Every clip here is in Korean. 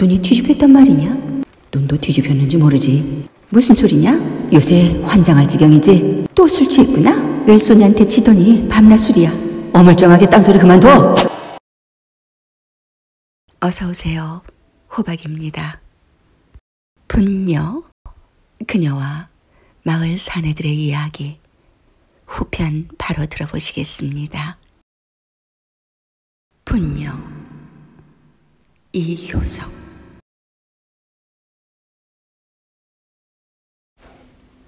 눈이 뒤집혔단 말이냐? 눈도 뒤집혔는지 모르지. 무슨 소리냐? 요새 환장할 지경이지. 또 술 취했구나? 왼손이한테 치더니 밤낮 술이야. 어물쩡하게 딴소리 그만둬. 어서 오세요. 호박입니다. 분녀, 그녀와 마을 사내들의 이야기 후편 바로 들어보시겠습니다. 분명 이효석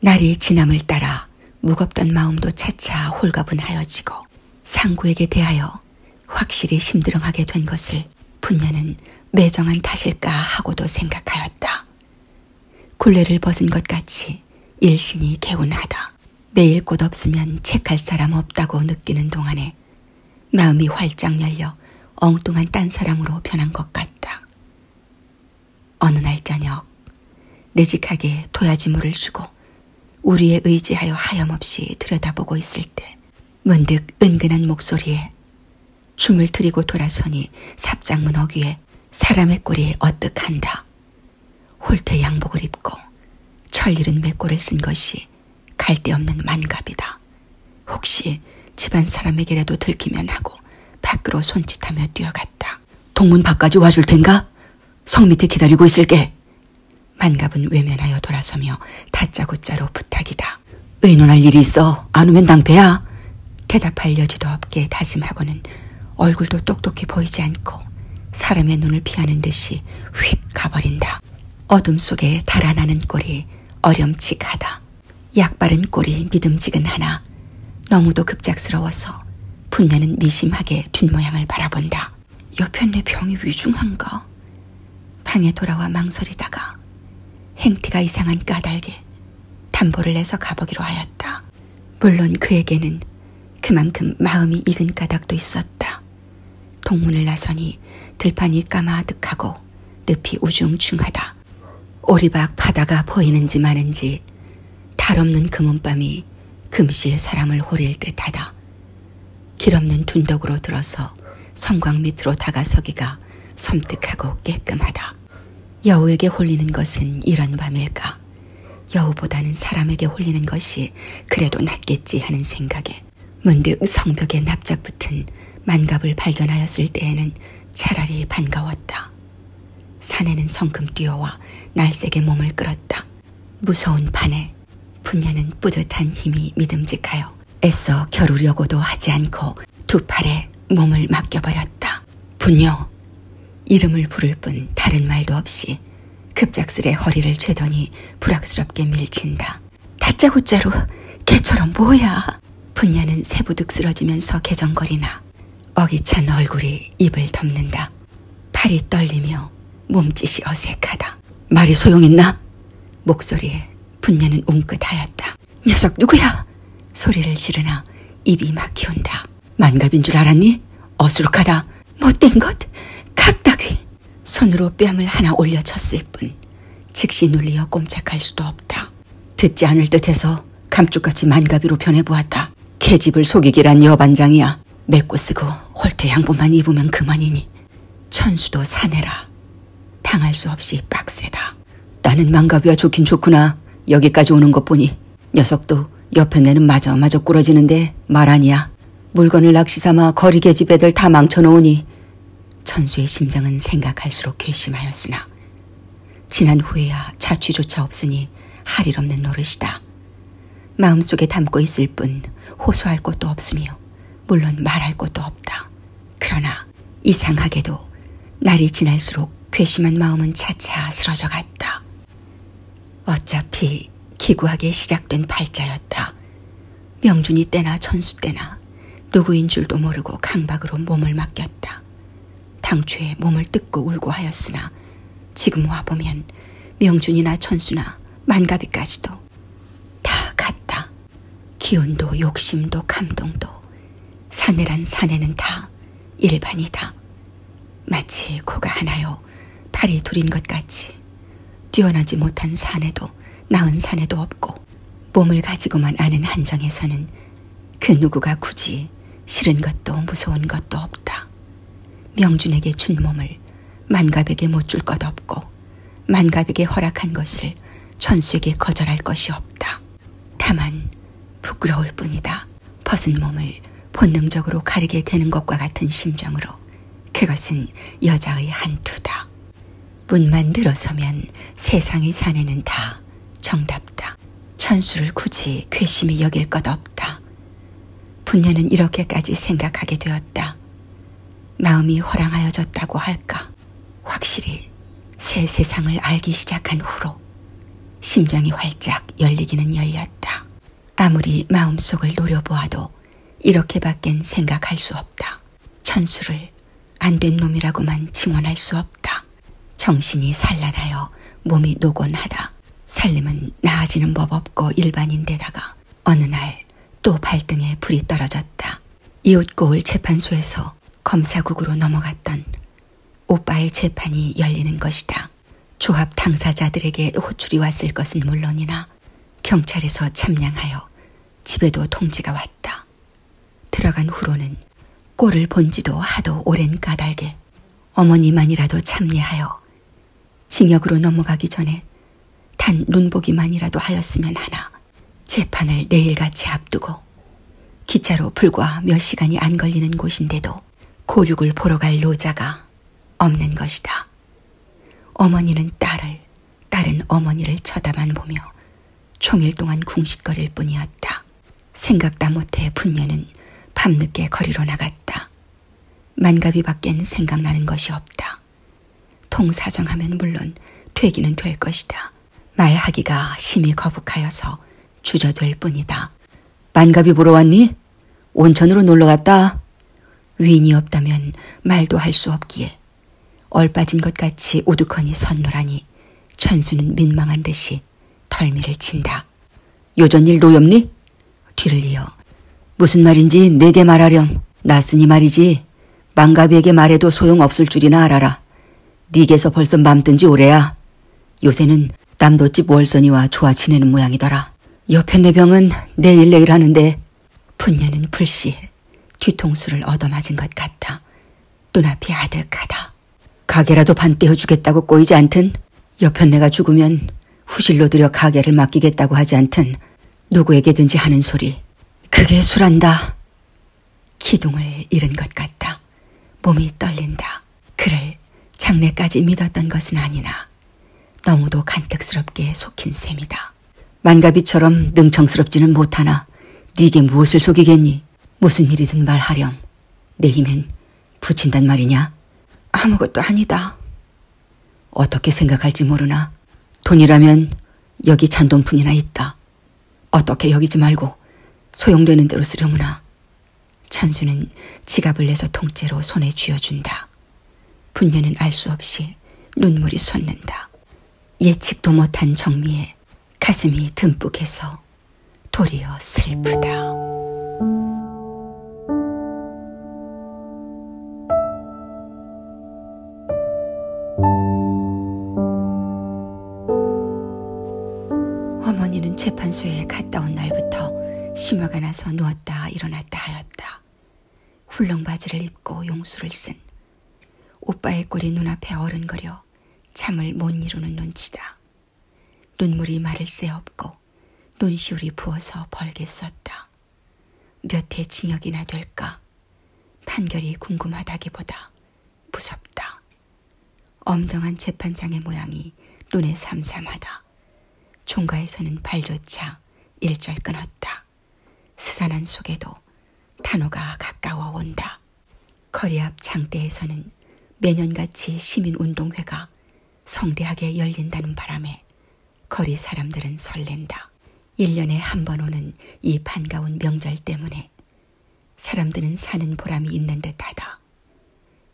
날이 지남을 따라 무겁던 마음도 차차 홀가분하여지고 상구에게 대하여 확실히 심드렁하게 된 것을 분녀는 매정한 탓일까 하고도 생각하였다. 굴레를 벗은 것 같이 일신이 개운하다. 매일 꽃 없으면 책할 사람 없다고 느끼는 동안에 마음이 활짝 열려 엉뚱한 딴 사람으로 변한 것 같다. 어느 날 저녁 내직하게 도야지물을 주고 우리의 의지하여 하염없이 들여다보고 있을 때 문득 은근한 목소리에 춤을 들이고 돌아서니 삽장문 어귀에 사람의 꼴이 어뜩한다 홀태 양복을 입고 철일은 맥골을 쓴 것이 갈데없는 만갑이다. 혹시 집안 사람에게라도 들키면 하고 밖으로 손짓하며 뛰어갔다. 동문 밖까지 와줄 텐가? 성 밑에 기다리고 있을게. 만갑은 외면하여 돌아서며 다짜고짜로 부탁이다. 의논할 일이 있어. 안 오면 낭패야. 대답할 여지도 없게 다짐하고는 얼굴도 똑똑해 보이지 않고 사람의 눈을 피하는 듯이 휙 가버린다. 어둠 속에 달아나는 꼴이 어렴칙하다. 약바른 꼴이 믿음직은하나 너무도 급작스러워서 분내는 미심하게 뒷모양을 바라본다. 옆편 내 병이 위중한가? 방에 돌아와 망설이다가 행태가 이상한 까닭에 담보를 내서 가보기로 하였다. 물론 그에게는 그만큼 마음이 익은 까닭도 있었다. 동문을 나서니 들판이 까마득하고 늪이 우중충하다. 오리박 바다가 보이는지 마는지 탈없는 금은밤이 금시에 사람을 호릴 듯하다. 길없는 둔덕으로 들어서 성곽 밑으로 다가서기가 섬뜩하고 깨끔하다. 여우에게 홀리는 것은 이런 밤일까. 있어서 여우보다는 사람에게 홀리는 것이 그래도 낫겠지 하는 생각에 문득 성벽에 납작 붙은 만갑을 발견하였을 때에는 차라리 반가웠다. 사내는 성큼 뛰어와 날색의 몸을 끌었다. 무서운 반에 분야는 뿌듯한 힘이 믿음직하여 애써 겨루려고도 하지 않고 두 팔에 몸을 맡겨버렸다. 분녀, 이름을 부를 뿐 다른 말도 없이 급작스레 허리를 죄더니 불악스럽게 밀친다. 다짜고짜로 개처럼 뭐야? 분야는 세부득 쓰러지면서 개정거리나 어기찬 얼굴이 입을 덮는다. 팔이 떨리며 몸짓이 어색하다. 말이 소용있나? 목소리에 분야는 웅긋하였다. 녀석 누구야? 소리를 지르나 입이 막히온다. 만갑인 줄 알았니? 어수룩하다. 못된 것? 갑다귀. 손으로 뺨을 하나 올려쳤을 뿐 즉시 눌리어 꼼짝할 수도 없다. 듣지 않을 듯해서 감쪽같이 만가비로 변해보았다. 계집을 속이기란 여반장이야. 맵고 쓰고 홀태 양보만 입으면 그만이니. 천수도 사내라. 당할 수 없이 빡세다. 나는 망가비와 좋긴 좋구나. 여기까지 오는 것 보니 녀석도 옆에 내는 마저마저 꾸러지는데 말 아니야. 물건을 낚시삼아 거리계 집 애들 다 망쳐놓으니 천수의 심장은 생각할수록 괘씸하였으나 지난 후에야 자취조차 없으니 할일 없는 노릇이다. 마음속에 담고 있을 뿐 호소할 것도 없으며 물론 말할 것도 없다. 그러나 이상하게도 날이 지날수록 괘씸한 마음은 차차 쓰러져 갔다. 어차피 기구하게 시작된 발자였다. 명준이 때나 천수 때나 누구인 줄도 모르고 강박으로 몸을 맡겼다. 당초에 몸을 뜯고 울고 하였으나 지금 와보면 명준이나 천수나 만가비까지도 다 같다. 기운도 욕심도 감동도 사내란 사내는 다 일반이다. 마치 코가 하나요, 팔이 둘인 것 같이 뛰어나지 못한 산에도 나은 산에도 없고 몸을 가지고만 아는 한정에서는 그 누구가 굳이 싫은 것도 무서운 것도 없다. 명준에게 준 몸을 만갑에게 못 줄것 없고 만갑에게 허락한 것을 천수에게 거절할 것이 없다. 다만 부끄러울 뿐이다. 벗은 몸을 본능적으로 가리게 되는 것과 같은 심정으로 그것은 여자의 한투다. 문만 들어서면 세상의 사내는 다 정답다. 천수를 굳이 괘씸히 여길 것 없다. 분녀는 이렇게까지 생각하게 되었다. 마음이 허랑하여졌다고 할까. 확실히 새 세상을 알기 시작한 후로 심장이 활짝 열리기는 열렸다. 아무리 마음속을 노려보아도 이렇게밖엔 생각할 수 없다. 천수를 안 된 놈이라고만 칭원할 수 없다. 정신이 산란하여 몸이 노곤하다. 살림은 나아지는 법 없고 일반인데다가 어느 날 또 발등에 불이 떨어졌다. 이웃고을 재판소에서 검사국으로 넘어갔던 오빠의 재판이 열리는 것이다. 조합 당사자들에게 호출이 왔을 것은 물론이나 경찰에서 참량하여 집에도 통지가 왔다. 들어간 후로는 꼴을 본지도 하도 오랜 까닭에 어머니만이라도 참례하여 징역으로 넘어가기 전에 단 눈보기만이라도 하였으면 하나 재판을 내일같이 앞두고 기차로 불과 몇 시간이 안 걸리는 곳인데도 고육을 보러 갈 노자가 없는 것이다. 어머니는 딸을, 딸은 어머니를 쳐다만 보며 총일 동안 궁시거릴 뿐이었다. 생각다 못해 분녀는 밤늦게 거리로 나갔다. 만가비 밖엔 생각나는 것이 없다. 통사정하면 물론 되기는 될 것이다. 말하기가 심히 거북하여서 주저될 뿐이다. 만갑이 보러 왔니? 온천으로 놀러 갔다. 위인이 없다면 말도 할 수 없기에 얼빠진 것 같이 오두커니 선노라니 천수는 민망한 듯이 덜미를 친다. 요전일 노엽니? 뒤를 이어 무슨 말인지 내게 말하렴. 나으니 말이지 망가비에게 말해도 소용없을 줄이나 알아라. 니게서 벌써 맘든지 오래야. 요새는 녀석은 남도집 월선이와 좋아 지내는 모양이더라. 옆에 내병은 네 내일 내일 하는데 분녀는 불시에 뒤통수를 얻어맞은 것 같아. 눈앞이 아득하다. 가게라도 반떼어 주겠다고 꼬이지 않든 옆편 내가 죽으면 후실로 들여 가게를 맡기겠다고 하지 않든 누구에게든지 하는 소리. 그게 술한다. 기둥을 잃은 것 같다. 몸이 떨린다. 그를 장래까지 믿었던 것은 아니나 너무도 간택스럽게 속힌 셈이다. 만가비처럼 능청스럽지는 못하나 네게 무엇을 속이겠니? 무슨 일이든 말하렴. 내 힘엔 붙인단 말이냐? 아무것도 아니다. 어떻게 생각할지 모르나 돈이라면 여기 잔돈뿐이나 있다. 어떻게 여기지 말고 소용되는 대로 쓰려무나. 천수는 지갑을 내서 통째로 손에 쥐어준다. 분녀는 알 수 없이 눈물이 솟는다. 예측도 못한 정미에 가슴이 듬뿍해서 도리어 슬프다. 어머니는 재판소에 갔다 온 날부터 심화가 나서 누웠다 일어났다 하였다. 훌렁 바지를 입고 용수를 쓴 오빠의 꼴이 눈앞에 어른거려 잠을 못 이루는 눈치다. 눈물이 말을 새없고 눈시울이 부어서 벌게 썼다. 몇 해 징역이나 될까? 판결이 궁금하다기보다 무섭다. 엄정한 재판장의 모양이 눈에 삼삼하다. 총가에서는 발조차 일절 끊었다. 스산한 속에도 탄호가 가까워 온다. 거리 앞 장대에서는 매년같이 시민운동회가 성대하게 열린다는 바람에 거리 사람들은 설렌다. 1년에 한 번 오는 이 반가운 명절 때문에 사람들은 사는 보람이 있는 듯하다.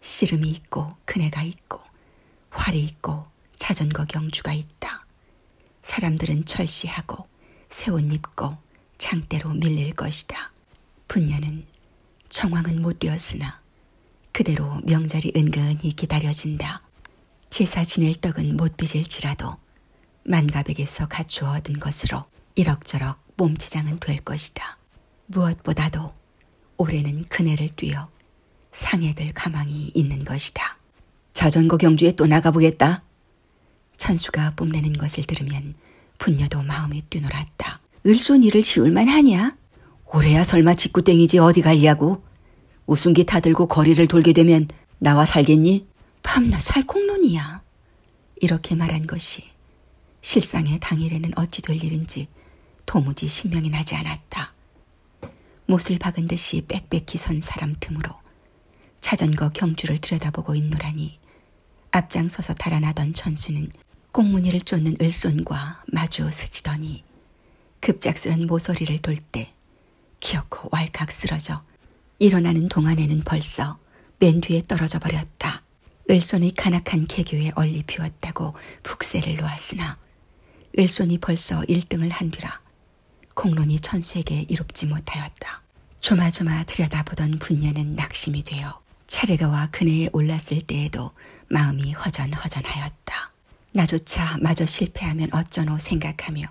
씨름이 있고 그네가 있고 활이 있고 자전거 경주가 있다. 사람들은 철시하고 새 옷 입고 장대로 밀릴 것이다. 분야는 정황은 못 되었으나 그대로 명절이 은근히 기다려진다. 제사 지낼 떡은 못 빚을지라도 만가백에서 갖추어 얻은 것으로 이럭저럭 몸치장은 될 것이다. 무엇보다도 올해는 그네를 뛰어 상해될 가망이 있는 것이다. 자전거 경주에 또 나가보겠다. 찬수가 뽐내는 것을 들으면 분녀도 마음이 뛰놀았다. 을손이를 지울만 하냐? 올해야 설마 직구땡이지 어디 갈려고? 우승기 타들고 거리를 돌게 되면 나와 살겠니? 밤낮 살콩론이야. 이렇게 말한 것이 실상의 당일에는 어찌 될 일인지 도무지 신명이 나지 않았다. 못을 박은 듯이 빽빽히 선 사람 틈으로 차전거 경주를 들여다보고 있노라니 앞장서서 달아나던 전수는 꽁무니를 쫓는 을손과 마주 스치더니 급작스런 모서리를 돌 때 기어코 왈칵 쓰러져 일어나는 동안에는 벌써 맨 뒤에 떨어져 버렸다. 을손이 간악한 개교에 얼리 비웠다고 북세를 놓았으나 을손이 벌써 1등을 한뒤라 공론이 천수에게 이롭지 못하였다. 조마조마 들여다보던 분녀는 낙심이 되어 차례가와 그네에 올랐을 때에도 마음이 허전허전하였다. 나조차 마저 실패하면 어쩌노 생각하며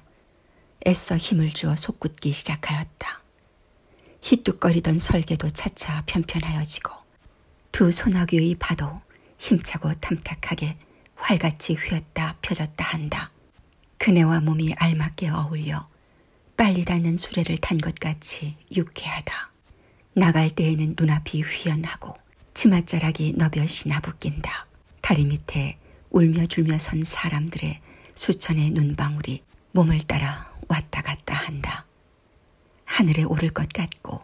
애써 힘을 주어 속굳기 시작하였다. 희뚝거리던 설계도 차차 편편하여지고 두 소나귀의 파도 힘차고 탐탁하게 활같이 휘었다 펴졌다 한다. 그네와 몸이 알맞게 어울려 빨리 닿는 수레를 탄 것 같이 유쾌하다. 나갈 때에는 눈앞이 휘연하고 치맛자락이 너벼시나 붓긴다. 다리 밑에 울며줄며 선 사람들의 수천의 눈방울이 몸을 따라 왔다 갔다 한다. 하늘에 오를 것 같고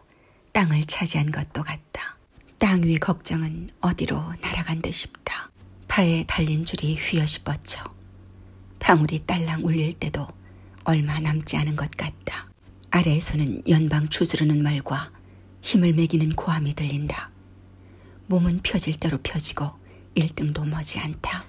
땅을 차지한 것도 같다. 땅 위 걱정은 어디로 날아간 듯 싶다. 파에 달린 줄이 휘어시 뻗쳐 방울이 딸랑 울릴 때도 얼마 남지 않은 것 같다. 아래에서는 연방 추스르는 말과 힘을 매기는 고함이 들린다. 몸은 펴질 대로 펴지고 일등도 머지않다.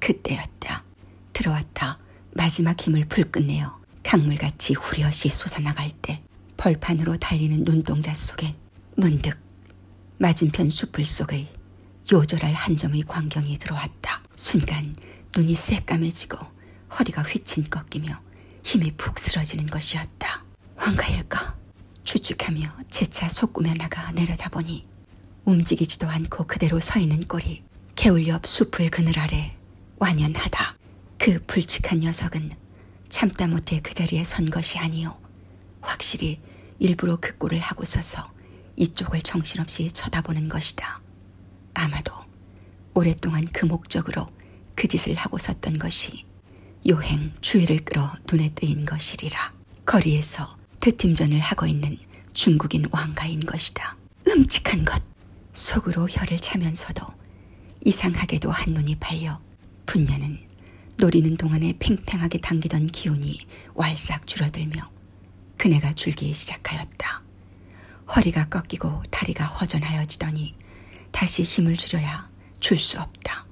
그때였다. 들어왔다. 마지막 힘을 불끝내어 강물같이 후려시 솟아나갈 때 벌판으로 달리는 눈동자 속에 문득 맞은편 숲을 속의 요절할 한 점의 광경이 들어왔다. 순간 눈이 새까매지고 허리가 휘친 꺾이며 힘이 푹 쓰러지는 것이었다. 황가일까? 추측하며 재차 속구며 나가 내려다보니 움직이지도 않고 그대로 서 있는 꼴이 개울 옆 숲을 그늘 아래 완연하다. 그 불측한 녀석은 참다 못해 그 자리에 선 것이 아니요. 확실히 일부러 그 꼴을 하고 서서 이쪽을 정신없이 쳐다보는 것이다. 아마도 오랫동안 그 목적으로 그 짓을 하고 섰던 것이 요행 주의를 끌어 눈에 띄인 것이리라. 거리에서 대팀전을 하고 있는 중국인 왕가인 것이다. 끔찍한 것! 속으로 혀를 차면서도 이상하게도 한눈이 팔려 분야는 노리는 동안에 팽팽하게 당기던 기운이 왈싹 줄어들며 그네가 줄기 시작하였다. 허리가 꺾이고 다리가 허전하여지더니 다시 힘을 줄여야 줄 수 없다.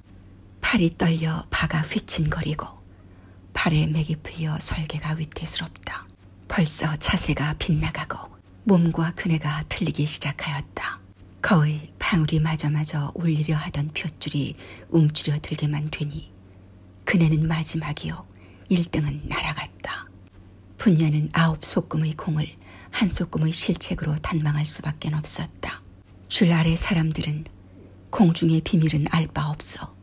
팔이 떨려 바가 휘친거리고 팔에 맥이 풀려 설계가 위태스럽다. 벌써 자세가 빗나가고 몸과 그네가 틀리기 시작하였다. 거의 방울이 마저마저 울리려 하던 볏줄이 움츠려 들게만 되니 그네는 마지막이요 1등은 날아갔다. 분야는 아홉 소금의 공을 한 소금의 실책으로 단망할 수밖에 없었다. 줄 아래 사람들은 공중의 비밀은 알 바 없어.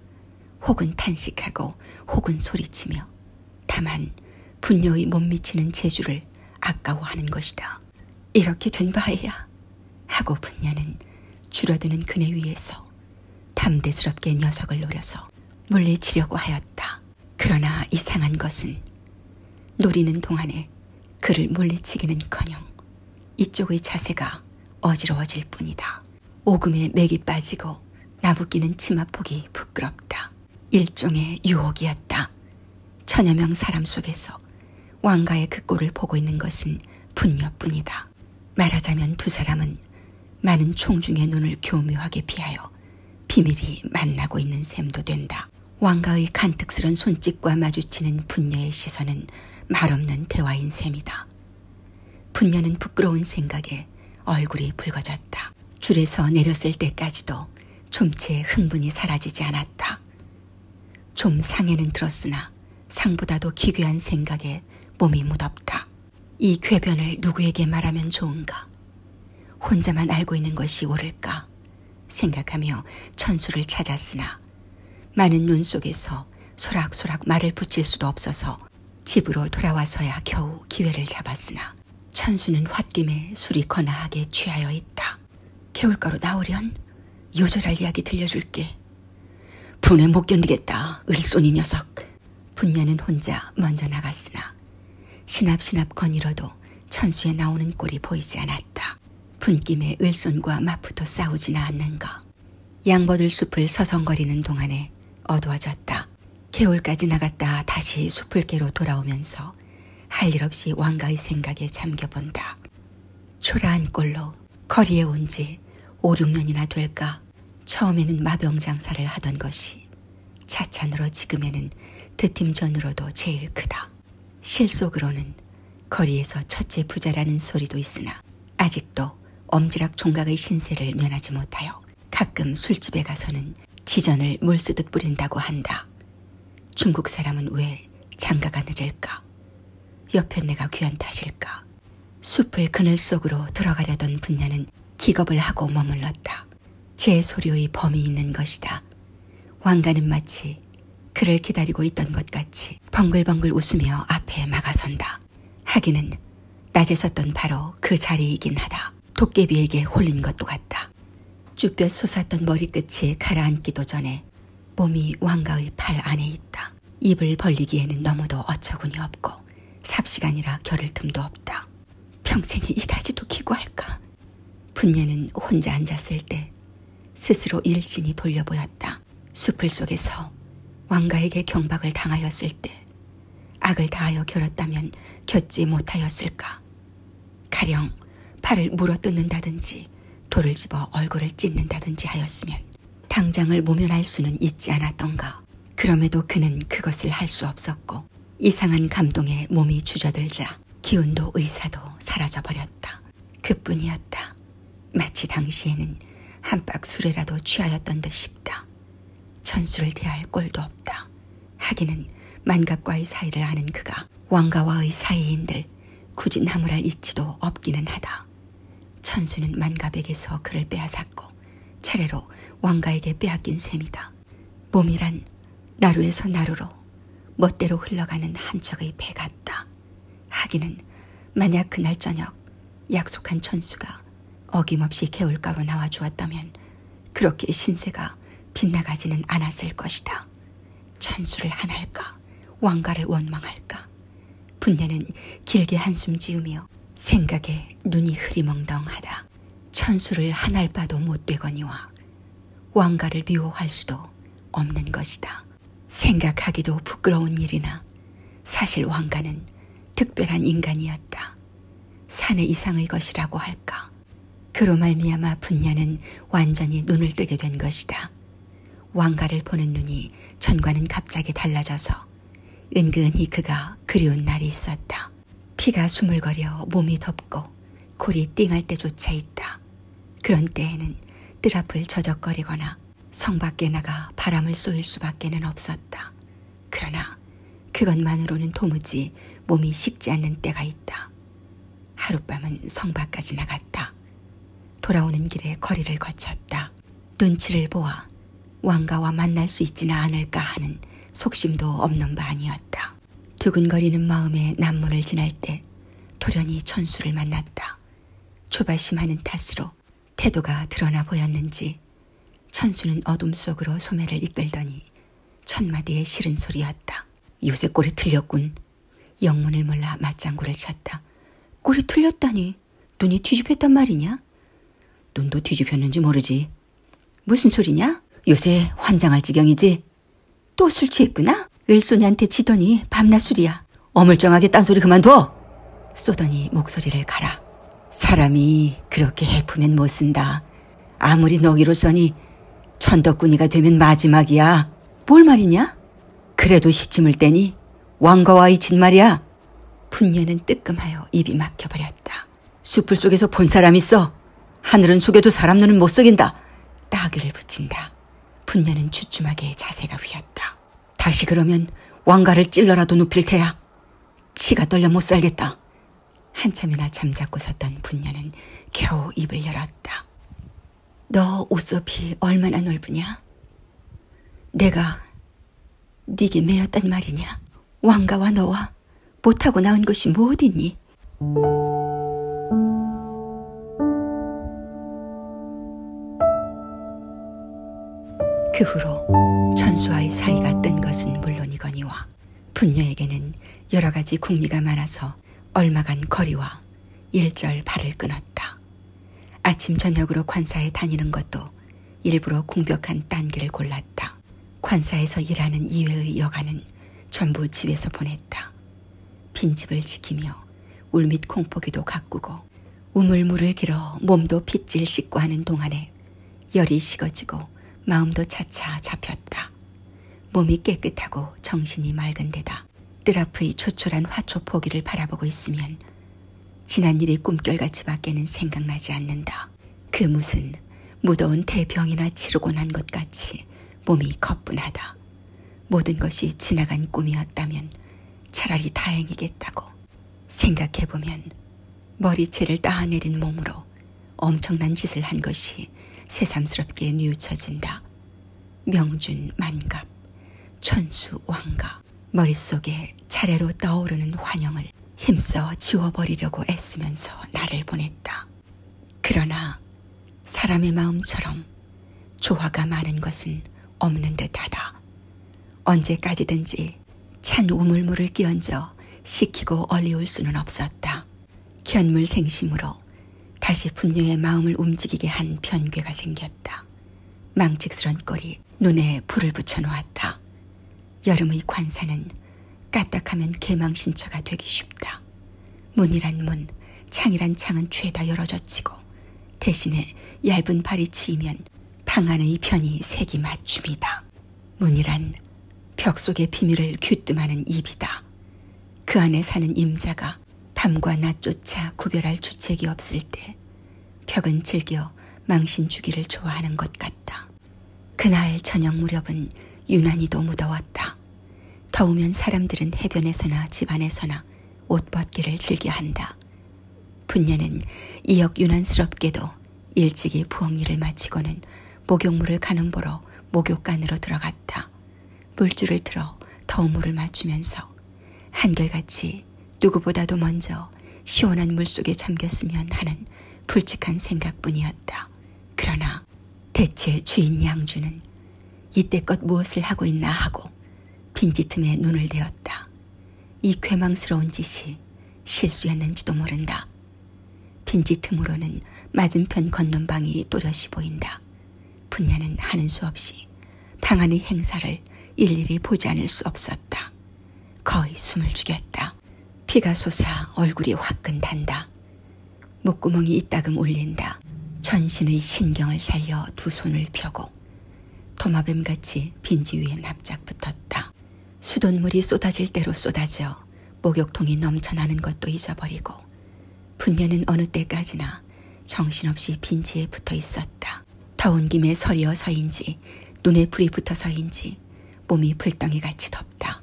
혹은 탄식하고 혹은 소리치며 다만 분녀의 못 미치는 재주를 아까워하는 것이다. 이렇게 된 바에야 하고 분녀는 줄어드는 그네 위에서 담대스럽게 녀석을 노려서 물리치려고 하였다. 그러나 이상한 것은 노리는 동안에 그를 물리치기는커녕 이쪽의 자세가 어지러워질 뿐이다. 오금에 맥이 빠지고 나부끼는 치마폭이 부끄럽다. 일종의 유혹이었다. 천여 명 사람 속에서 왕가의 그 꼴을 보고 있는 것은 분녀뿐이다. 말하자면 두 사람은 많은 총중의 눈을 교묘하게 피하여 비밀이 만나고 있는 셈도 된다. 왕가의 간특스런 손짓과 마주치는 분녀의 시선은 말없는 대화인 셈이다. 분녀는 부끄러운 생각에 얼굴이 붉어졌다. 줄에서 내렸을 때까지도 좀채 흥분이 사라지지 않았다. 좀 상해는 들었으나 상보다도 기괴한 생각에 몸이 무덥다. 이 궤변을 누구에게 말하면 좋은가? 혼자만 알고 있는 것이 옳을까? 생각하며 천수를 찾았으나 많은 눈 속에서 소락소락 말을 붙일 수도 없어서 집으로 돌아와서야 겨우 기회를 잡았으나 천수는 홧김에 술이 거나하게 취하여 있다. 개울가로 나오련 요절할 이야기 들려줄게. 분에 못 견디겠다. 을손이 녀석. 분녀는 혼자 먼저 나갔으나 시납시납 거닐어도 천수에 나오는 꼴이 보이지 않았다. 분김에 을손과 맞붙어 싸우지는 않는 것. 양버들 숲을 서성거리는 동안에 어두워졌다. 개울까지 나갔다 다시 숲을개로 돌아오면서 할 일 없이 왕가의 생각에 잠겨본다. 초라한 꼴로 거리에 온 지 5, 6년이나 될까 처음에는 마병 장사를 하던 것이 차찬으로 지금에는 드팀전으로도 제일 크다. 실속으로는 거리에서 첫째 부자라는 소리도 있으나 있으나 아직도 엄지락 총각의 신세를 면하지 못하여 가끔 술집에 가서는 지전을 물쓰듯 뿌린다고 한다. 중국 사람은 왜 장가가 늦을까? 옆에 내가 귀한 탓일까? 숲을 그늘 속으로 들어가려던 분야는 기겁을 하고 머물렀다. 제 소리의 범이 있는 것이다. 왕가는 마치 그를 기다리고 있던 것 같이 벙글벙글 웃으며 앞에 막아선다. 하기는 낮에 섰던 바로 그 자리이긴 하다. 도깨비에게 홀린 것도 같다. 쭈뼛 솟았던 머리끝이 가라앉기도 전에 몸이 왕가의 팔 안에 있다. 입을 벌리기에는 너무도 어처구니 없고 삽시간이라 겨를 틈도 없다. 평생에 이다지도 기구할까? 분녀는 혼자 앉았을 때 스스로 일신이 돌려 보였다. 수풀 속에서 왕가에게 경박을 당하였을 때 악을 다하여 결었다면 겪지 못하였을까? 가령 팔을 물어뜯는다든지 돌을 집어 얼굴을 찢는다든지 하였으면 당장을 모면할 수는 있지 않았던가. 그럼에도 그는 그것을 할 수 없었고 이상한 감동에 몸이 주저들자 기운도 의사도 사라져버렸다. 그뿐이었다. 마치 당시에는 한박 술에라도 취하였던 듯 싶다. 천수를 대할 꼴도 없다. 하기는 만갑과의 사이를 아는 그가 왕가와의 사이인들 굳이 나무랄 이치도 없기는 하다. 천수는 만갑에게서 그를 빼앗았고 차례로 왕가에게 빼앗긴 셈이다. 몸이란 나루에서 나루로 멋대로 흘러가는 한척의 배 같다. 하기는 만약 그날 저녁 약속한 천수가 어김없이 개울가로 나와 주었다면 그렇게 신세가 빗나가지는 않았을 것이다. 천수를 하날까 왕가를 원망할까 분내는 길게 한숨 지으며 생각에 눈이 흐리멍덩하다. 천수를 한알 봐도 못 되거니와 왕가를 미워할 수도 없는 것이다. 생각하기도 부끄러운 일이나 사실 왕가는 특별한 인간이었다. 사내 이상의 것이라고 할까. 그로 말미암아 분야는 완전히 눈을 뜨게 된 것이다. 왕가를 보는 눈이 전과는 갑자기 달라져서 은근히 그가 그리운 날이 있었다. 피가 수물거려 몸이 덥고 골이 띵할 때조차 있다. 그런 때에는 뜰 앞을 저적거리거나 성 밖에 나가 바람을 쏠 수밖에는 없었다. 그러나 그것만으로는 도무지 몸이 식지 않는 때가 있다. 하룻밤은 성 밖까지 나갔다. 돌아오는 길에 거리를 거쳤다. 눈치를 보아 왕가와 만날 수 있지는 않을까 하는 속심도 없는 바 아니었다. 두근거리는 마음에 남문을 지날 때 돌연히 천수를 만났다. 조바심하는 탓으로 태도가 드러나 보였는지 천수는 어둠 속으로 소매를 이끌더니 첫마디의 싫은 소리였다. 요새 꼬리 틀렸군. 영문을 몰라 맞장구를 쳤다. 꼬리 틀렸다니 눈이 뒤집혔단 말이냐? 눈도 뒤집혔는지 모르지. 무슨 소리냐? 요새 환장할 지경이지? 또술 취했구나? 을소녀한테 지더니 밤낮 술이야. 어물쩡하게 딴소리 그만둬! 쏘더니 목소리를 가라. 사람이 그렇게 해프면 못 쓴다. 아무리 너기로 써니 천덕꾸니가 되면 마지막이야. 뭘 말이냐? 그래도 시침을 떼니 왕가와 이친 말이야. 분녀는 뜨끔하여 입이 막혀버렸다. 숯불 속에서 본 사람 있어. 하늘은 속여도 사람 눈은 못 속인다. 따귀를 붙인다. 분녀는 주춤하게 자세가 휘었다. 다시 그러면 왕가를 찔러라도 눕힐 테야. 치가 떨려 못 살겠다. 한참이나 잠자고 섰던 분녀는 겨우 입을 열었다. 너 옷소비 얼마나 넓으냐? 내가 네게 매였단 말이냐? 왕가와 너와 못하고 나온 것이 뭐 어딨니? 그 후로 천수와의 사이가 뜬 것은 물론이거니와 분녀에게는 여러 가지 궁리가 많아서 얼마간 거리와 일절 발을 끊었다. 아침 저녁으로 관사에 다니는 것도 일부러 공벽한 딴기를 골랐다. 관사에서 일하는 이외의 여가는 전부 집에서 보냈다. 빈집을 지키며 울밑 콩포기도 가꾸고 우물물을 길어 몸도 핏질 씻고 하는 동안에 열이 식어지고 마음도 차차 잡혔다. 몸이 깨끗하고 정신이 맑은 데다 뜰앞의 초촐한 화초 포기를 바라보고 있으면 지난 일이 꿈결같이 밖에는 생각나지 않는다. 그 무슨 무더운 대병이나 치르고 난 것 같이 몸이 거뿐하다. 모든 것이 지나간 꿈이었다면 차라리 다행이겠다고 생각해보면 머리채를 따내린 몸으로 엄청난 짓을 한 것이 새삼스럽게 뉘우쳐진다. 명준 만갑, 천수 왕가. 머릿속에 차례로 떠오르는 환영을 힘써 지워버리려고 애쓰면서 나를 보냈다. 그러나 사람의 마음처럼 조화가 많은 것은 없는 듯하다. 언제까지든지 찬 우물물을 끼얹어 식히고 얼리울 수는 없었다. 견물 생심으로 다시 분녀의 마음을 움직이게 한 변괴가 생겼다. 망측스런 꼴이 눈에 불을 붙여놓았다. 여름의 관사는 까딱하면 개망신처가 되기 쉽다. 열어졌다. 문이란 문, 창이란 창은 죄다 열어젖히고 대신에 얇은 발이 치이면 방 안의 편이 색이 맞춤이다. 문이란 벽 속의 비밀을 귀뜸하는 입이다. 그 안에 사는 임자가 밤과 낮조차 구별할 주책이 없을 때 벽은 즐겨 망신 주기를 좋아하는 것 같다. 그날 저녁 무렵은 유난히도 무더웠다. 한다. 더우면 사람들은 해변에서나 집 안에서나 옷벗기를 즐겨 한다. 분녀는 이역 유난스럽게도 일찍이 부엌일을 마치고는 목욕물을 가는 보러 목욕간으로 들어갔다. 물줄을 틀어 더우물을 맞추면서 한결같이 누구보다도 먼저 시원한 물속에 잠겼으면 하는 불측한 생각뿐이었다. 그러나 대체 주인 양주는 이때껏 무엇을 하고 있나 하고 빈지틈에 눈을 대었다. 이 괴망스러운 짓이 실수였는지도 모른다. 빈지틈으로는 맞은편 건넌방이 또렷이 보인다. 분야는 하는 수 없이 당하는 행사를 일일이 보지 않을 수 없었다. 거의 숨을 죽였다. 피가 솟아 얼굴이 화끈 단다. 목구멍이 이따금 울린다. 전신의 신경을 살려 두 손을 펴고 도마뱀같이 빈지 위에 납작 붙었다. 수돗물이 쏟아질 대로 쏟아져 목욕통이 넘쳐나는 것도 잊어버리고 분녀는 어느 때까지나 정신없이 빈지에 붙어 있었다. 더운 김에 서리어서인지 눈에 불이 붙어서인지 몸이 불덩이같이 덥다.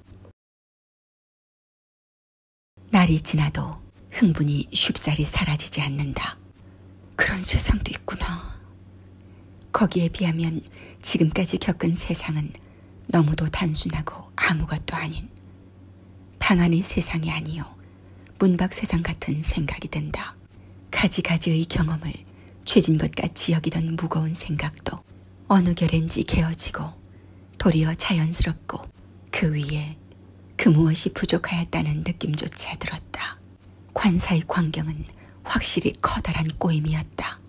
날이 지나도 흥분이 쉽사리 사라지지 않는다. 그런 세상도 있구나. 거기에 비하면 지금까지 겪은 세상은 너무도 단순하고 아무것도 아닌 방 안의 세상이 아니요 문밖 세상 같은 생각이 든다. 가지가지의 경험을 죄진 것 같이 여기던 무거운 생각도 어느 결엔지 개어지고 도리어 자연스럽고 그 위에 그 무엇이 부족하였다는 느낌조차 들었다. 관사의 광경은 확실히 커다란 꼬임이었다.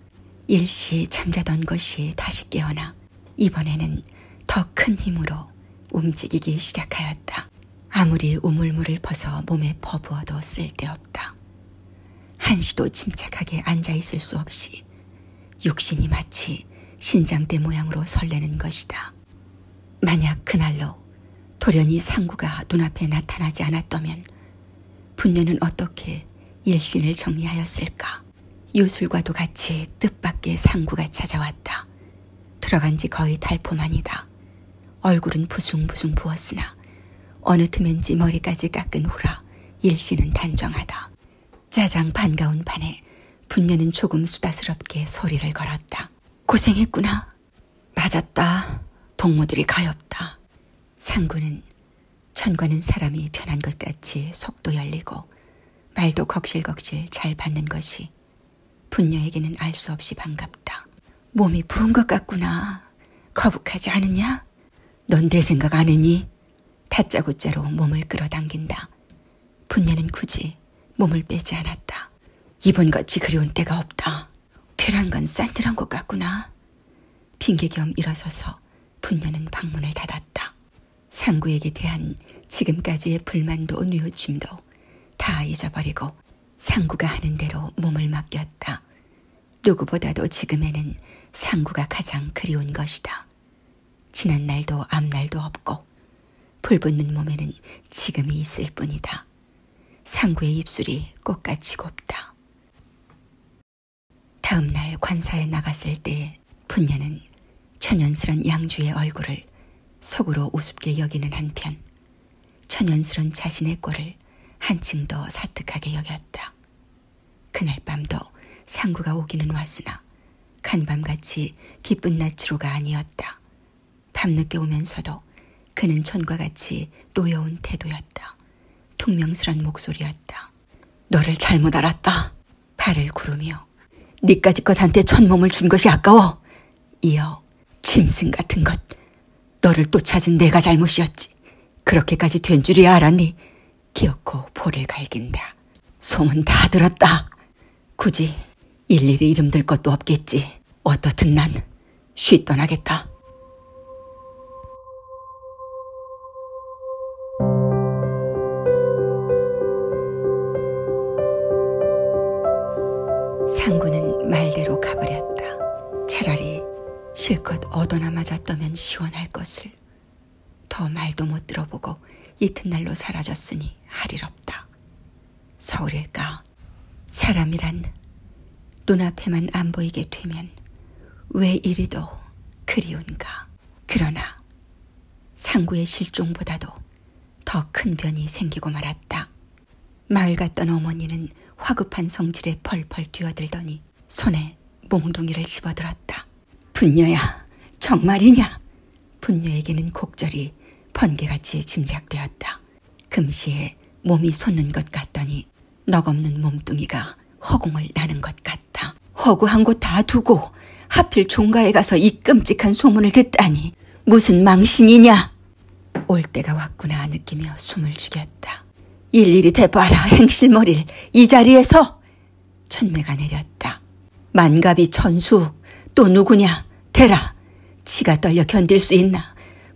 일시 잠자던 것이 다시 깨어나 이번에는 더 큰 힘으로 움직이기 시작하였다. 아무리 우물물을 퍼서 몸에 퍼부어도 쓸데없다. 한시도 침착하게 앉아있을 수 없이 육신이 마치 신장대 모양으로 설레는 것이다. 만약 그날로 돌연히 상구가 눈앞에 나타나지 않았다면 분녀는 어떻게 일신을 정리하였을까? 요술과도 같이 뜻밖의 상구가 찾아왔다. 들어간 지 거의 달포만이다. 얼굴은 부숭부숭 부었으나 어느 틈엔지 머리까지 깎은 후라 일신은 단정하다. 짜장 반가운 판에 분녀는 조금 수다스럽게 소리를 걸었다. 고생했구나. 맞았다. 동무들이 가엾다. 상구는 천과는 사람이 변한 것 같이 속도 열리고 말도 거실거실 잘 받는 것이 분녀에게는 알 수 없이 반갑다. 몸이 부은 것 같구나. 거북하지 않으냐? 넌 내 생각 안 했니? 다짜고짜로 몸을 끌어당긴다. 분녀는 굳이 몸을 빼지 않았다. 이번같이 그리운 때가 없다. 필요한 건 싼들한 것 같구나. 핑계겸 일어서서 분녀는 방문을 닫았다. 상구에게 대한 지금까지의 불만도 뉘우침도 다 잊어버리고 상구가 하는 대로 몸을 맡겼다. 누구보다도 지금에는 상구가 가장 그리운 것이다. 없다. 지난 날도 앞날도 없고 불붙는 몸에는 지금이 있을 뿐이다. 상구의 입술이 꽃같이 곱다. 다음 날 관사에 나갔을 때 분녀는 천연스런 양주의 얼굴을 속으로 우습게 여기는 한편 천연스런 자신의 꼴을 한층 더 사특하게 여겼다. 그날 밤도 상구가 오기는 왔으나 간밤같이 기쁜 낮치로가 아니었다. 밤늦게 오면서도 그는 전과 같이 노여운 태도였다. 퉁명스런 목소리였다. 너를 잘못 알았다. 발을 구르며 니까지껏 한테 천몸을 준 것이 아까워. 이어 짐승 같은 것. 너를 또 찾은 내가 잘못이었지. 그렇게까지 된 줄이야 알았니? 기어코 볼을 갈긴다. 소문 다 들었다. 굳이 일일이 이름 들 것도 없겠지. 어떻든 난 쉬 떠나겠다. 상구는 말대로 가버렸다. 차라리 실컷 얻어나맞았다면 시원할 것을. 더 말도 못 들어보고 이튿날로 사라졌으니 할 일 없다. 서울일까? 사람이란 눈앞에만 안 보이게 되면 왜 이리도 그리운가? 그러나 상구의 실종보다도 더 큰 변이 생기고 말았다. 마을 갔던 어머니는 화급한 성질에 펄펄 뛰어들더니 손에 몽둥이를 집어들었다. 분녀야, 정말이냐? 분녀에게는 곡절이 번개같이 짐작되었다. 금시에 몸이 솟는 것 같더니 넉없는 몸뚱이가 허공을 나는 것 같다. 허구한 곳다 두고 하필 종가에 가서 이 끔찍한 소문을 듣다니 무슨 망신이냐? 올 때가 왔구나 느끼며 숨을 죽였다. 일일이 대봐라 행실머리를 이 자리에서 천매가 내렸다. 만갑이 천수 또 누구냐 대라 치가 떨려 견딜 수 있나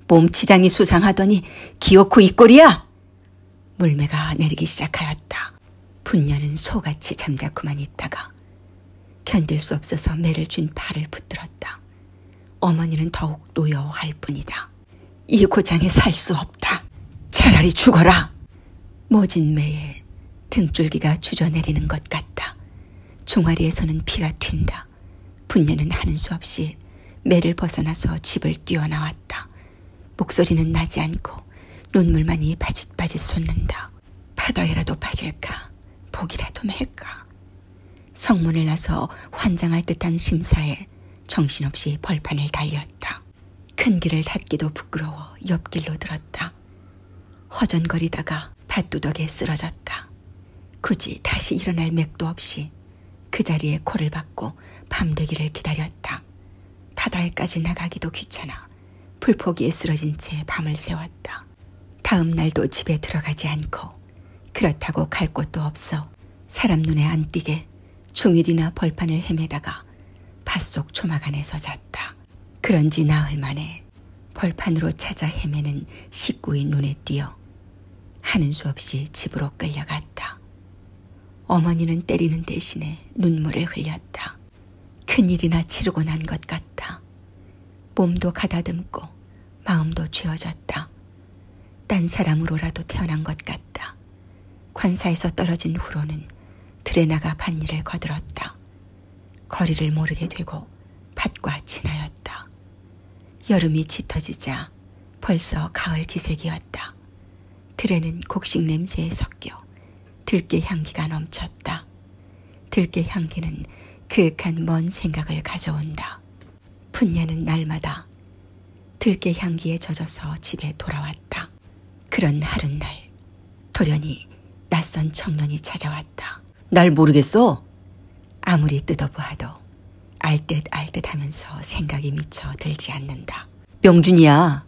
몸치장이 수상하더니 기어코 이 꼴이야 물매가 내리기 시작하였다. 분녀는 소같이 잠자코만 있다가 견딜 수 없어서 매를 쥔 팔을 붙들었다. 어머니는 더욱 노여워할 뿐이다. 이 고장에 살 수 없다. 차라리 죽어라. 모진 매에 등줄기가 주저내리는 것 같다. 종아리에서는 피가 튄다. 분녀는 하는 수 없이 매를 벗어나서 집을 뛰어나왔다. 목소리는 나지 않고 눈물만이 바짓바짓 솟는다. 바다에라도 빠질까 복이라도 맬까. 성문을 나서 환장할 듯한 심사에 정신없이 벌판을 달렸다. 큰 길을 닫기도 부끄러워 옆길로 들었다. 허전거리다가 밭두덕에 쓰러졌다. 굳이 다시 일어날 맥도 없이 그 자리에 코를 박고 밤되기를 기다렸다. 바다에까지 나가기도 귀찮아 풀포기에 쓰러진 채 밤을 새웠다. 다음 날도 집에 들어가지 않고 그렇다고 갈 곳도 없어 사람 눈에 안 띄게 종일이나 벌판을 헤매다가 밭 속 초막 안에서 잤다. 그런지 나흘 만에 벌판으로 찾아 헤매는 식구의 눈에 띄어 하는 수 없이 집으로 끌려갔다. 어머니는 때리는 대신에 눈물을 흘렸다. 큰일이나 치르고 난 것 같다. 몸도 가다듬고 마음도 죄어졌다. 딴 사람으로라도 태어난 것 같다. 않았다. 관사에서 떨어진 후로는 들에 나가 밭일을 거들었다. 거리를 모르게 되고 밭과 친하였다. 여름이 짙어지자 벌써 가을 기색이었다. 들에는 곡식 냄새에 섞여 들깨 향기가 넘쳤다. 들깨 향기는 그윽한 먼 생각을 가져온다. 푼녀는 날마다 들깨 향기에 젖어서 집에 돌아왔다. 그런 하룻날 돌연히 낯선 청년이 찾아왔다. 날 모르겠어? 아무리 뜯어보아도 알듯 알듯 하면서 생각이 미쳐 들지 않는다. 명준이야.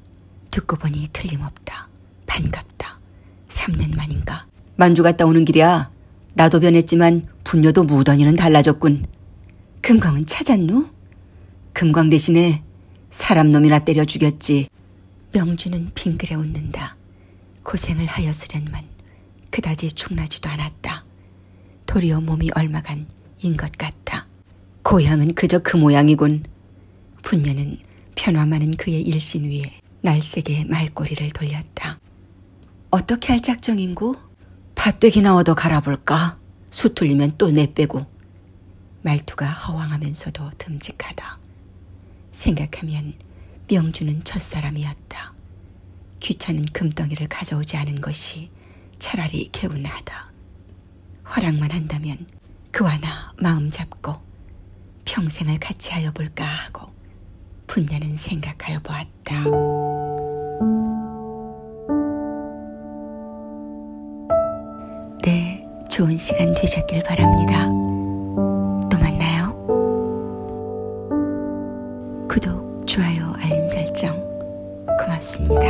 듣고 보니 틀림없다. 반갑다. 3년 만인가. 만주 갔다 오는 길이야. 나도 변했지만 분녀도 무던히는 달라졌군. 금광은 찾았노? 금광 대신에 사람 놈이나 때려 죽였지. 명주는 빙그레 웃는다. 고생을 하였으련만 그다지 충나지도 않았다. 도리어 몸이 얼마간 인 것 같다. 고향은 그저 그 모양이군. 분녀는 편화많은 그의 일신 위에 날색의 말꼬리를 돌렸다. 어떻게 할 작정인고? 밭대기나 얻어 갈아볼까? 수틀리면 또 내빼고. 말투가 허황하면서도 듬직하다. 생각하면 명주는 첫사람이었다. 귀찮은 금덩이를 가져오지 않은 것이 차라리 개운하다. 허락만 한다면 그와 나 마음 잡고 평생을 같이 하여 볼까 하고 분녀는 생각하여 보았다. 네, 좋은 시간 되셨길 바랍니다. 또 만나요. 구독, 좋아요, 알림 설정 고맙습니다.